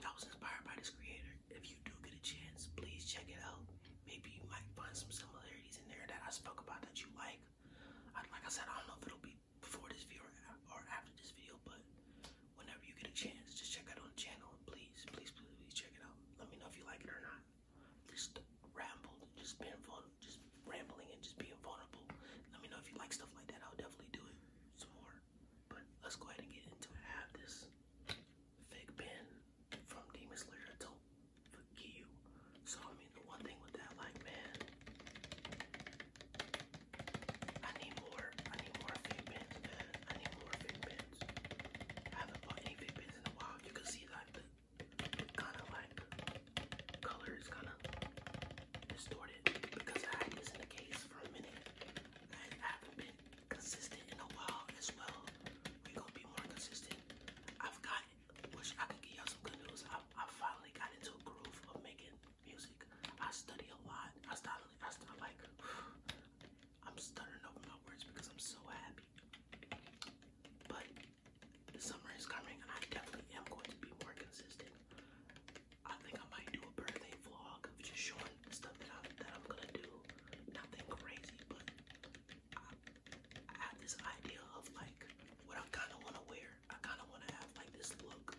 I was inspired by this creator. If you do get a chance, please check it out. Maybe you might find some similarities in there that I spoke about that you like. I, like I said, I don't know if it'll be before this video or, after this video, but whenever you get a chance, just check out on the channel. please, please, please, please check it out. Let me know if you like it or not. Just rambled, just being vulnerable, just rambling and just being vulnerable. Let me know if you like stuff like that. I'll definitely do it some more. But let's go ahead and get into have this fake pen from Demon Slayer. I do you. So I mean, the one thing with that, like, man, I need more. I need more fake pens, I need more fake pens. I haven't bought any fake pens in a while. You can see that the kind of like color is kind of distorted because I had this in the case for a minute. I haven't been consistent in a while as well. We're gonna be more consistent. I've got, which I can give y'all some good news. I, I finally got into a groove of making music. I study a lot. I started, I started like, I'm stuttering over my words because I'm so happy. But the summer is coming, and I definitely am going to be more consistent. I think I might do a birthday vlog of just showing stuff that, I, that I'm gonna do. Nothing crazy, but I, have this idea of like what I kind of want to wear. I kind of want to have like this look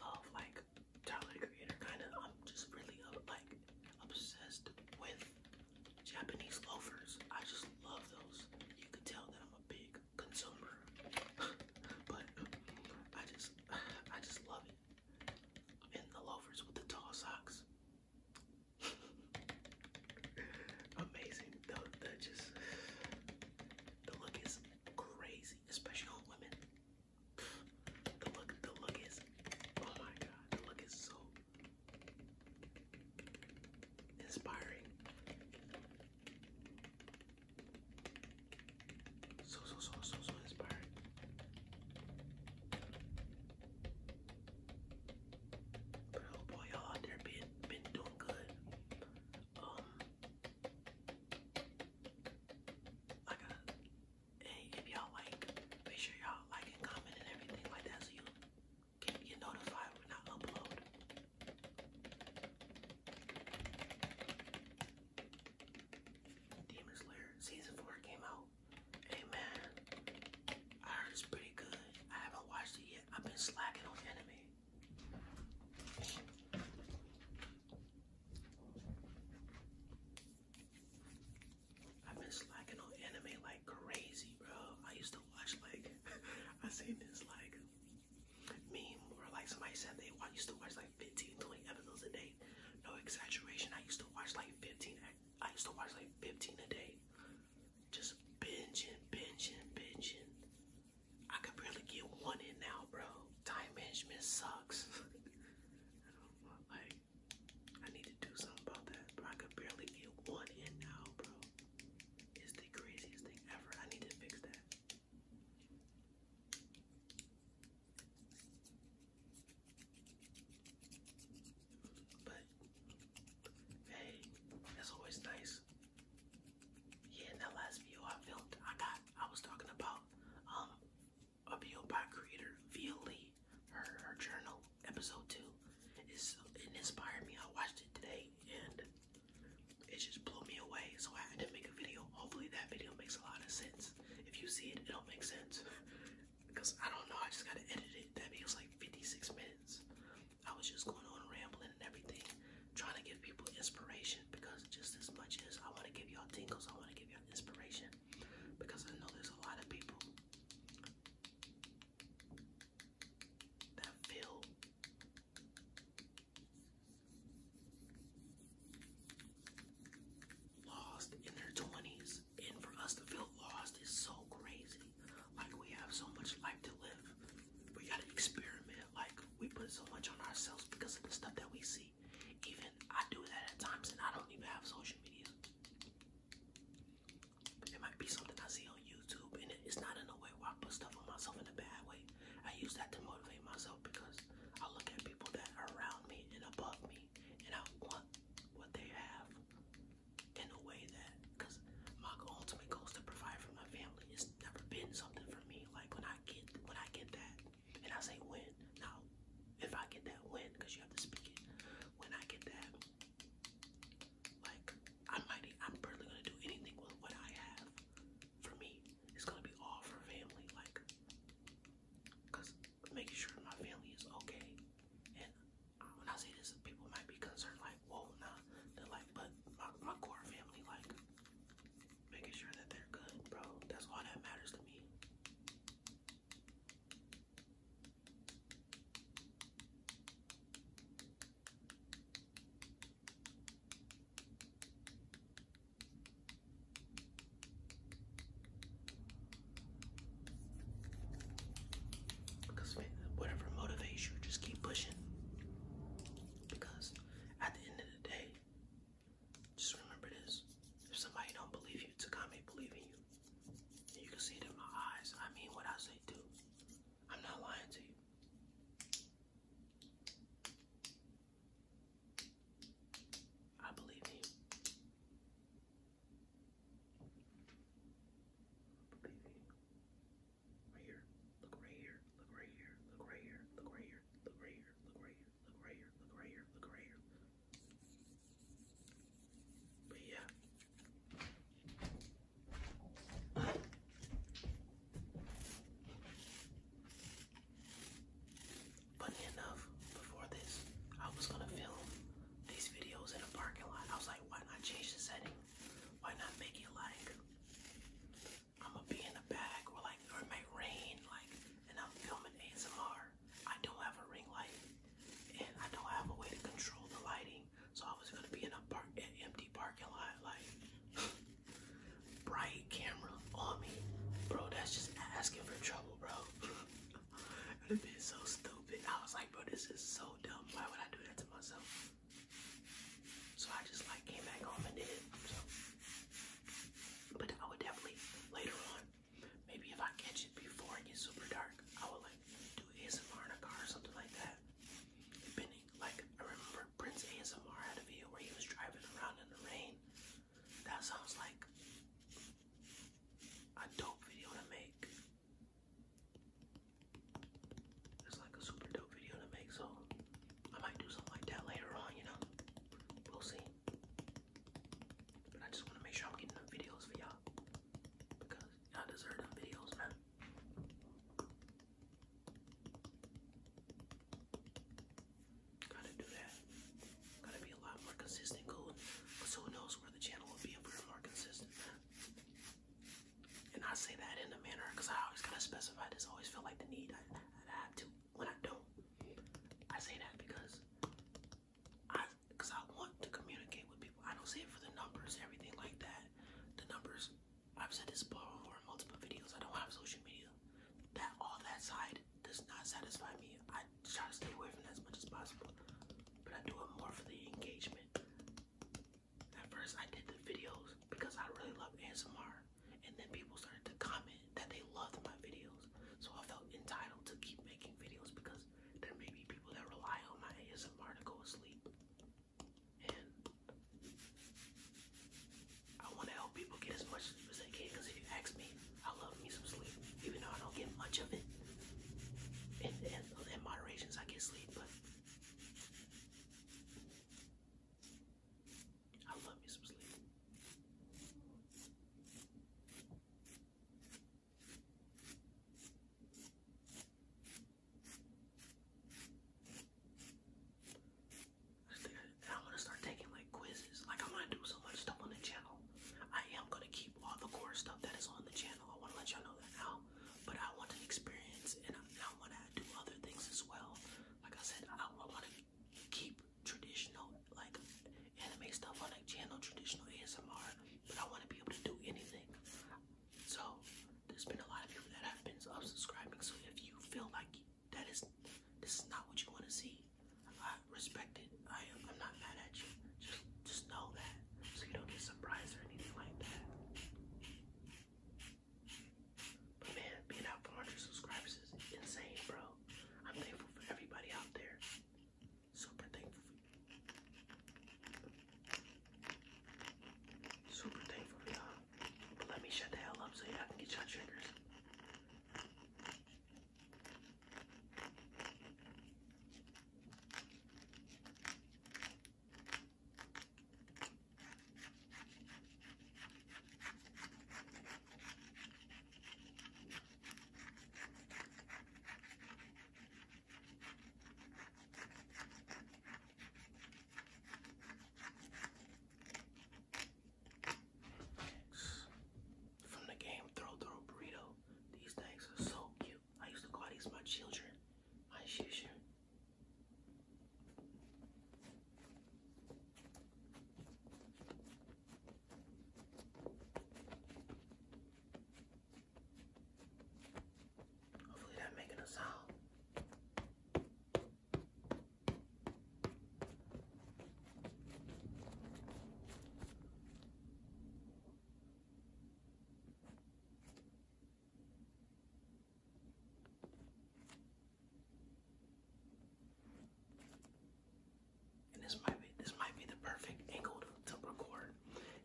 of like Tyler the Creator. Kind of, I'm just really uh, like obsessed with Japanese loafers. I just love those. You could tell that I'm a big consumer, but I just I just love it. And the loafers with the tall socks. Amazing. The, the just, the look is crazy, especially on women. The look, the look is, oh my God, the look is so inspiring. So, so, so, so, so inspired. But oh boy, y'all out there been, been doing good. Um, I gotta, hey, if y'all like, make sure y'all like and comment and everything like that so you can get notified when I upload. Demon Slayer season four came out. Hey I heard it's pretty good. I haven't watched it yet. I've been slacking on anime. I've been slacking on anime like crazy, bro. I used to watch like I seen this like meme or like somebody said they I used to watch like 15, 20 episodes a day. No exaggeration. I used to watch like 15. I used to watch like 15 a day. Just binging, binging, binging. I can barely get one in now, bro. Time management sucks. like, I need to do something about that, bro. I could barely get one in now, bro. It's the craziest thing ever. I need to fix that. But hey, that's always nice. Yeah, in that last video I filmed, I got I was talking about um a video by creator Via Her her journal episode two is it inspired me. I watched it today and it just blew me away. So I had to make a video. Hopefully that video makes a lot of sense. If you see it, it'll make sense. Because I don't know, I just gotta edit it. That video's like 56 minutes. I was just going on rambling and everything, trying to give people inspiration because just as much as I wanna give y'all tingles, I wanna give y'all inspiration. Because I know there's a lot of people that feel lost in their 20s. And for us to feel lost is so crazy. Like we have so much life to live. We gotta experiment. Like we put so much on ourselves because of the stuff that we see. Even I do that at times and I don't even have social media. It might be something I see on YouTube and it's not in a way where I put stuff on myself in a bad way. I use that to motivate myself because I look at people that are around me and above me, and I want what they have in a way that, because my ultimate goal is to provide for my family. It's never been something for me. Like when I get when I get that, and I say win now, if I get that win, because you have to speak it. When I get that, like I might, I'm probably gonna do anything with what I have for me, it's gonna be all for family, like, cause making sure my family is okay. And when I say this, people might be concerned, like, whoa, nah, they're like, but my, core family, like, making sure that they're good, bro. That's all that matters to me. Because whatever motivates you, just keep pushing. Because at the end of the day, just remember this. If somebody don't believe you, Takami believe in you. And you can see it in my eyes. I mean what I say too. I'm not lying to you. I believe you. Believe in Right here. Look right here. Look right here. Look right here. Look right here. Look right here. Look right here. Look right here. Look right here. Look right here. But yeah. Funny enough, before this, I was gonna film these videos in a parking lot. I was like, why not change the setting? Why not make it like I'ma be in a bag or like or it may rain like and I'm filming ASMR. I don't have a ring light and I don't have a way to control the lighting. So I was gonna be in a park an empty parking lot like bright camera on me. Bro, that's just asking for trouble, bro. it would have been so stupid. I was like, bro, this is so dumb. Why would I do that to myself? So I just like came back home and did it. So. But I would definitely later on, maybe if I catch it before it gets super dark, I would like do ASMR in a car or something like that. remember Prince ASMR had a video where he was driving around in the rain. That sounds like a dope video to make. It's like a super dope video to make, so I might do something like that later on, you know? We'll see. But I just want to make sure I'm getting them videos for y'all. Because I deserve them videos, man. Gotta do that. Gotta be a lot more consistent, cool. who knows where the channel will be if we're more consistent. And I say that in a manner because I always kind of specify this. always feel like the need. I, I to. When I don't, I say that because I, because I want to communicate with people. I don't say it for the numbers, everything like that. The numbers I've said this before in multiple videos. I don't have social media. That all that side does not satisfy me. I try to stay away from that as much as possible, but I do it more for the engagement. At first, I did the videos because I really love ASMR, and then people started to comment that they loved my videos. So I felt entitled to keep making videos because there may be people that rely on my ASMR to go to sleep. And I want to help people get as much as they can because if you ask me, I love me some sleep, even though I don't get much of it. In, in, in moderations, get sleep, but I love me some sleep. I want to start taking like quizzes. Like I'm gonna do so much stuff on the channel. I am gonna keep all the core stuff that is on the channel. I wanna let y'all know that now. But I want to experience and I, I wanna do other things as well. Like I said, I wanna keep traditional like anime stuff on the channel, traditional ASMR. But I wanna be able to do anything. So there's been a lot of people that have been unsubscribing. So if you feel like that is this is not what you want to see, I respect it. I am I'm not mad at you. Just just know that so you don't get surprised or anything like that. But man, being out 400 subscribers is insane, bro. I'm thankful for everybody out there. Super thankful Super thankful y'all. But let me shut the hell up so y'all can get your triggers. From the game Throw Throw Burrito. These things are so cute. I used to call these my children. My children. Hopefully that making a sound. And this might be this might be the perfect angle to record.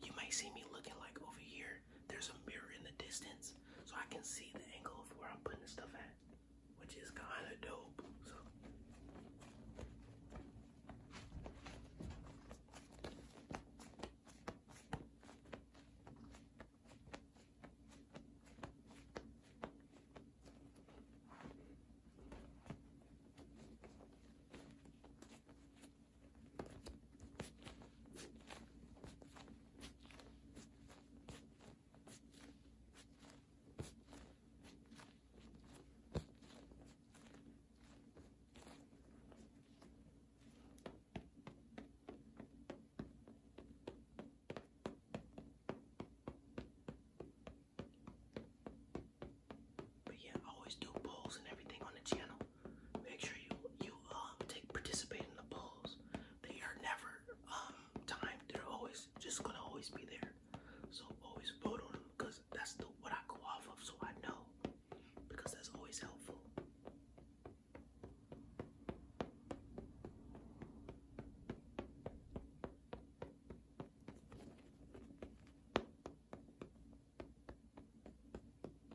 You might see me looking like over here there's a mirror in the distance so I can see the angle of where I'm putting the stuff at, which is kind of dope. So. But yeah, I always do polls and everything on the channel make sure you you um, take participate in the polls. They are never um They're always just gonna always be there. So always vote on them because that's the what I go off of. So I know because that's always helpful.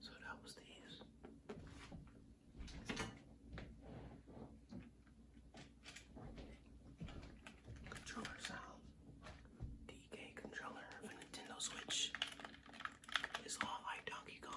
So that was these. Controller sound. DK controller of Nintendo Switch. It's a like Donkey Kong.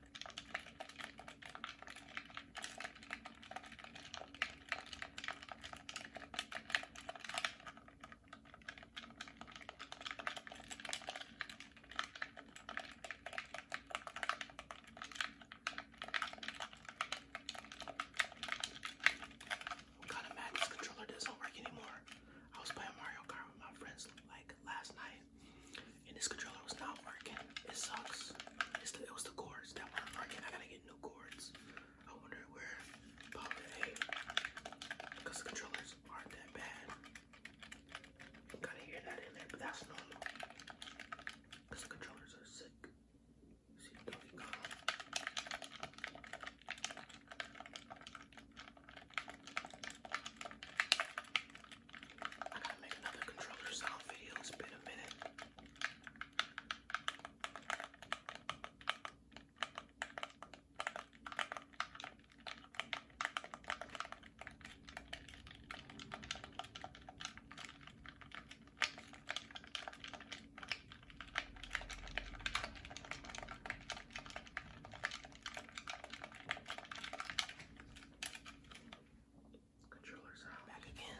I'm kind of mad this controller doesn't work anymore. I was playing Mario Kart with my friends like last night and this controller was not working. It sucks. it was the cords that weren't working. I gotta get new cords. I wonder where because the controllers aren't that bad. You gotta hear that in there, but that's normal. Because the controllers are sick. See, there we I gotta make another controller sound video. It's been a minute. Controllers out. Back again.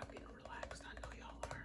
I'm getting relaxed, I know y'all are.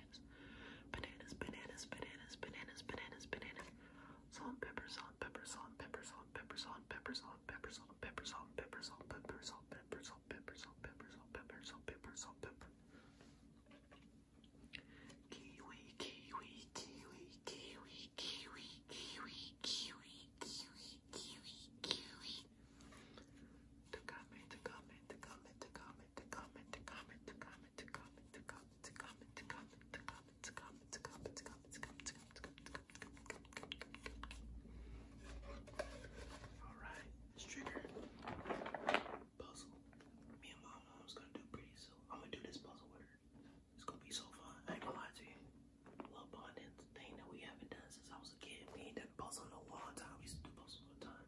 bananas, bananas, bananas, bananas, bananas, bananas, bananas, salt, pepper, salt, pepper, salt, pepper, salt, pepper, salt, pepper, salt, pepper, salt, pepper, salt, pepper, salt, pepper, salt, pepper, salt, pepper, salt, pepper, salt, pepper, salt, pepper, salt, pepper. Kiwi, kiwi, kiwi, kiwi, kiwi, kiwi, kiwi, kiwi, kiwi, kiwi. To comment, to comment, to comment, to comment, to comment, to comment, to comment, to comment, to comment. Alright, this trigger puzzle. Me and mom, mom's gonna do pretty soon. I'm gonna do this puzzle with her. It's gonna be so fun. I ain't gonna lie to you. Love bonding, thing that we haven't done since I was a kid. We ain't done puzzle in a long time. We used to do puzzles all the time.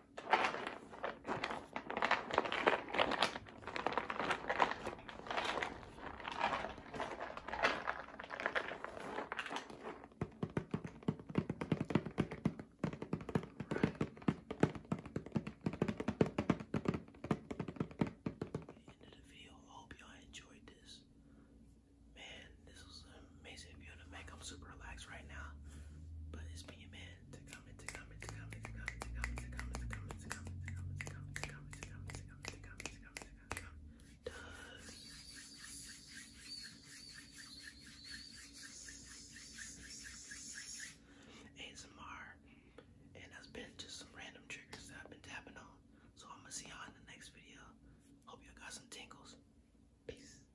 End of the video. Hope y'all enjoyed this. Man, this was amazing video to make. I'm super relaxed right now. But it's been your man to comment, to comment, to comment, to comment, to comment, to comment, to comment, to comment, to comment, to comment, to comment, to comment, to comment, to comment, to comment, to comment. Does ASMR and that's been just some random triggers that I've been tapping on. So I'm gonna see y'all in the next video. Hope y'all got some tingles. Peace.